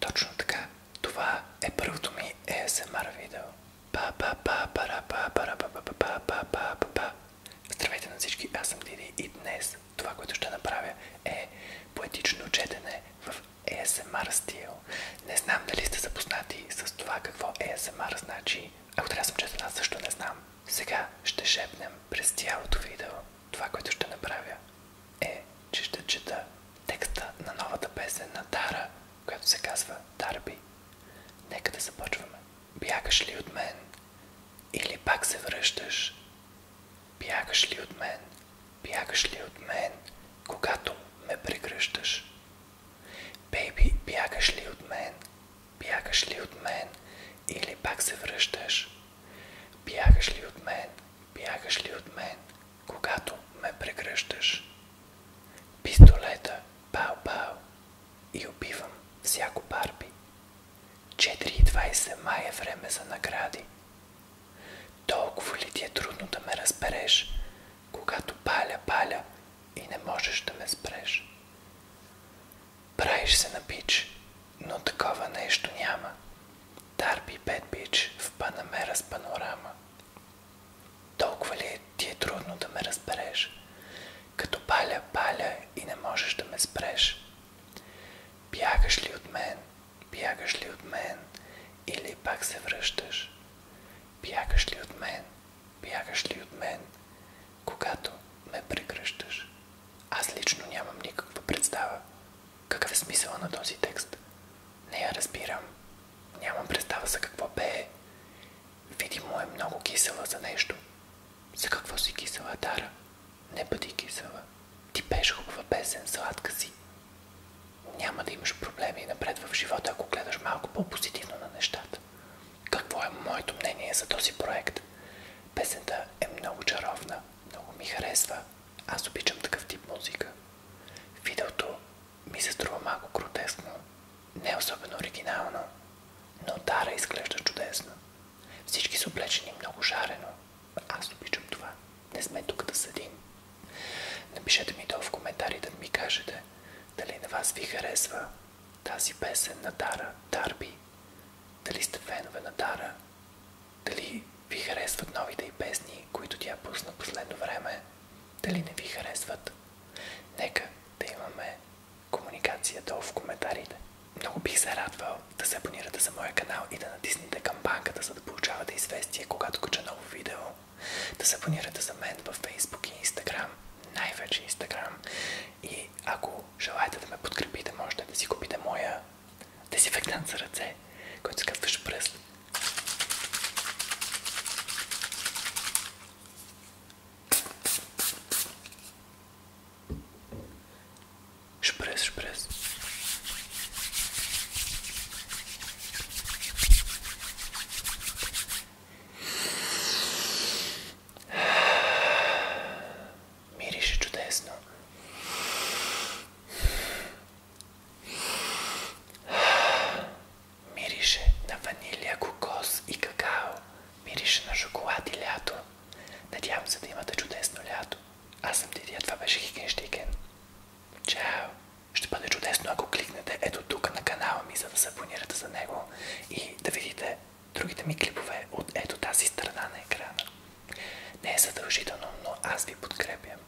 Точно така. Това е първото ми ASMR видео. Здравейте на всички, аз съм Диди и днес това, което ще направя е поетично четене в ASMR стил. Не знам дали сте запознати с това какво ASMR значи. Ако трябва съм честен, аз също не знам. Сега ще шепнем през цялото видео това, което ще направя е, че ще чета текста на новата песен на Тара, която се казва Дарби. Нека да започваме. Бягаш ли от мен? Или пак се връщаш? Бягаш ли от мен? Бягаш ли от мен, когато ме прегръщаш? Бейби, бягаш ли от мен, Бягаш ли от мен или пак се връщаш? Бягаш ли от мен? Бягаш ли от мен, когато ме прегръщаш? Пистолета, пау-пау и убивам всяко барби. 4.20 май е време за награди. Толкова ли ти е трудно да ме разбереш, когато паля-паля и не можеш да ме спреш. Правиш се на бич, но такова нещо няма. Дарби Бет Бич в Панамера с панорама. Толкова ли е, ти е трудно да ме разбереш? Като паля, паля и не можеш да ме спреш. Бягаш ли от мен? Бягаш ли от мен? Или пак се връщаш? Бягаш ли от мен? Бягаш ли от мен, когато ме прегръщаш? Аз лично нямам никаква представа. Какъв е смисъл на този текст? Не я разбирам. Нямам представа за какво пее. Видимо е много кисела за нещо. За какво си кисела, Дара? Не бъди кисела. Ти пееш хубава песен, сладка си няма да имаш проблеми и напред в живота, ако гледаш малко по-позитивно на нещата. Какво е моето мнение за този проект? Песента е много чаровна, много ми харесва. Аз обичам такъв тип музика. Видеото ми се струва малко гротесно, не особено оригинално, но Тара изглежда чудесно. Всички са облечени много жарено. Аз обичам това. Не сме тук да съдим. Напишете ми долу в коментарите да ми кажете дали на вас ви харесва тази песен на Дара Дарби. Дали сте фенове на Дара. Дали ви харесват новите и песни, които тя пусна последно време. Дали не ви харесват. Нека да имаме комуникацията в коментарите. Много бих се радвал да се абонирате за моя канал и да натиснете камбанката, за да получавате известие, когато кача ново видео. Да се абонирате за мен във Facebook и Instagram, най-вече Instagram. И ако желаете да ме подкрепите, можете да си купите моя дезинфектант за ръце, който се казваш пръст. Шпрес, шпрес. Мирише чудесно. Мирише на ванилия, кокос и какао. Мирише на шоколад и лято. Надявам се да имате чудесно лято. Аз съм Дидия, това беше Хикенштикен. Чао! Ще бъде чудесно, ако кликнете ето тук на канала ми, за да се абонирате за него и да видите другите ми клипове от ето тази страна на екрана. Не е задължително, но аз ви подкрепям.